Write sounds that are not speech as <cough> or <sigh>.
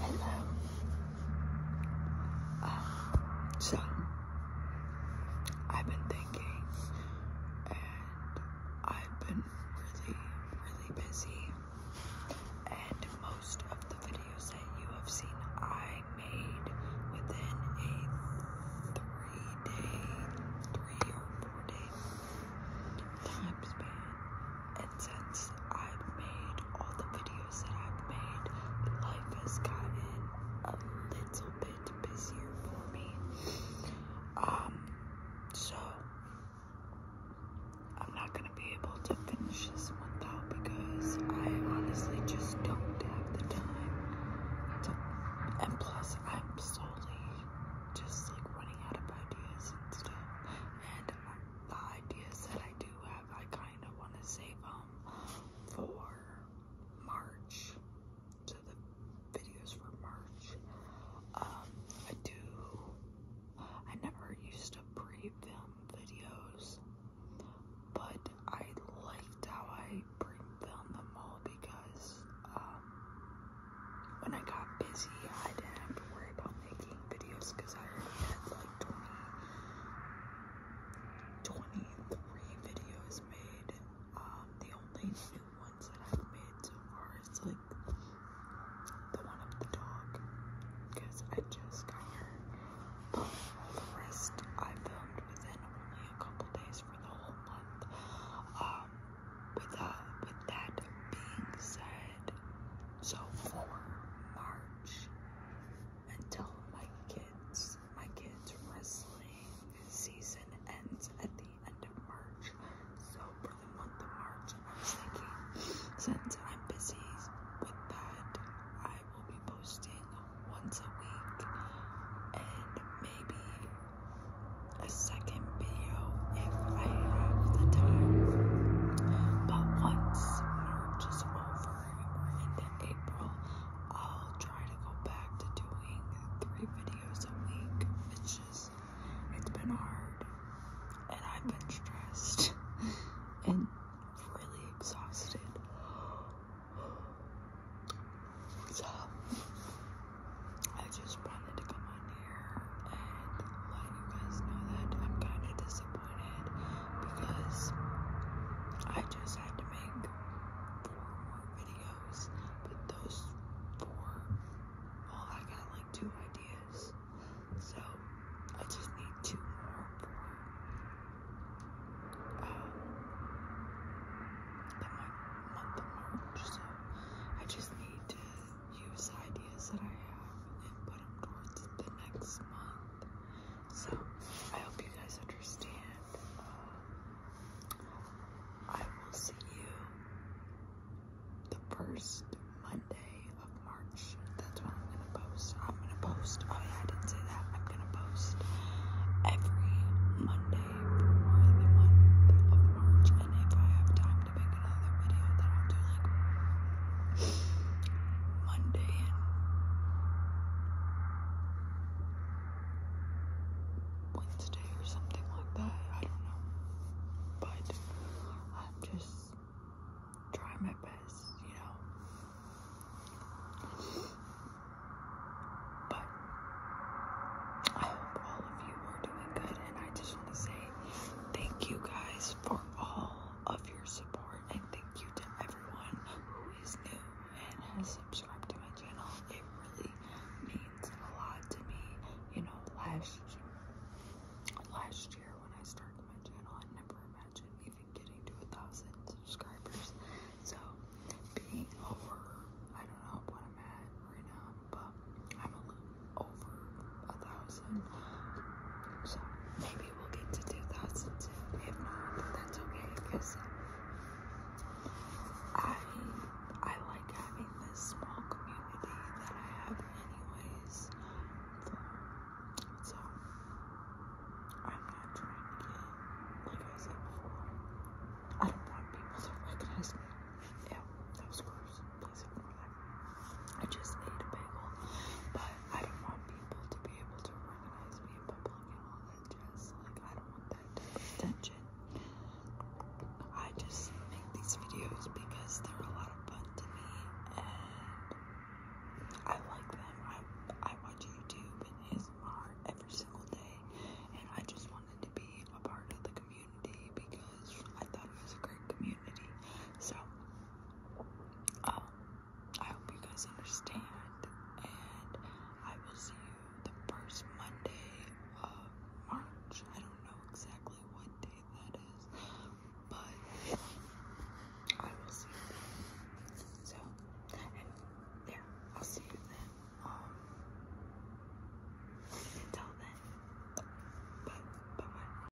Hello. so, I've been thinking, and I've been really, really busy. And most of the videos that you have seen, I made within a three day, three or four day time span. And since I've made all the videos that I've made, life has gotten a little bit busier for me. Um, so I'm not gonna be able to finish this one though because I honestly just don't have the time and plus I'm still slowly just like running out of ideas and stuff. And my, the ideas that I do have, I kind of want to save them um, for March. So the videos for March. Um, I do. I never used to pre-film videos, but I liked how I filmed them all because um, when I got busy, I didn't have to worry about making videos because I already had like 20, 23 videos made. Um, the only new ones that I've made so far is like the one of the dog because I just got her the rest I filmed within only a couple days for the whole month. Um, with that, uh, with that being said, so for March until my kids, my kids wrestling season ends at the end of March. So for the month of March, I was thinking since I'm busy with that, I I will be posting once a week and maybe a second video if I have the time. But once March is over into April, I'll try to go back to doing three videos a week. It's just, it's been hard and I've been stressed. <laughs> and really exhausted. So I just wanted to come on here and let you guys know that I'm kind of disappointed because I just had to make four more videos, but those four, well, I got like two ideas. So I just need two more for um, the month of March. So I just need to use ideas that I have and put them towards the next month. So I hope you guys understand. Uh, I will see you the first Monday of March. That's when I'm gonna post. I'm gonna post. Oh yeah, I didn't say that. I'm gonna post every Monday for the month of March. And if I have time to make another video, then I'll do like Monday and Wednesday or something like that. I don't know. But I'm just trying my best, you know. But I hope all of you are doing good, and I just want to say thank you guys for all of your support, and thank you to everyone who is new and has subscribed to my channel. It really means a lot to me. You know, last last year when I started my channel, I never imagined even getting to a thousand subscribers. So being over, I don't know what I'm at right now, but I'm a little over a thousand. So maybe we'll get to 2,000 If not, that's okay because I I like having this small community that I have anyways. So I'm not trying to get like I said before. I don't want people to recognize me. Yeah, that was gross. Please ignore that. I just ate a bagel. But I don't want people to be able to recognize me in public look at all that jazz. Like, I don't want that type of attention. I just make these videos because they're a lot of fun to me, and I like them. I I watch YouTube and ASMR every single day, and I just wanted to be a part of the community because I thought it was a great community. So, um, I hope you guys understand. And I will see you the first Monday of March. I don't know exactly what day that is, but I will see you then. So, and yeah, I'll see you then. Um, until then, bye bye. bye.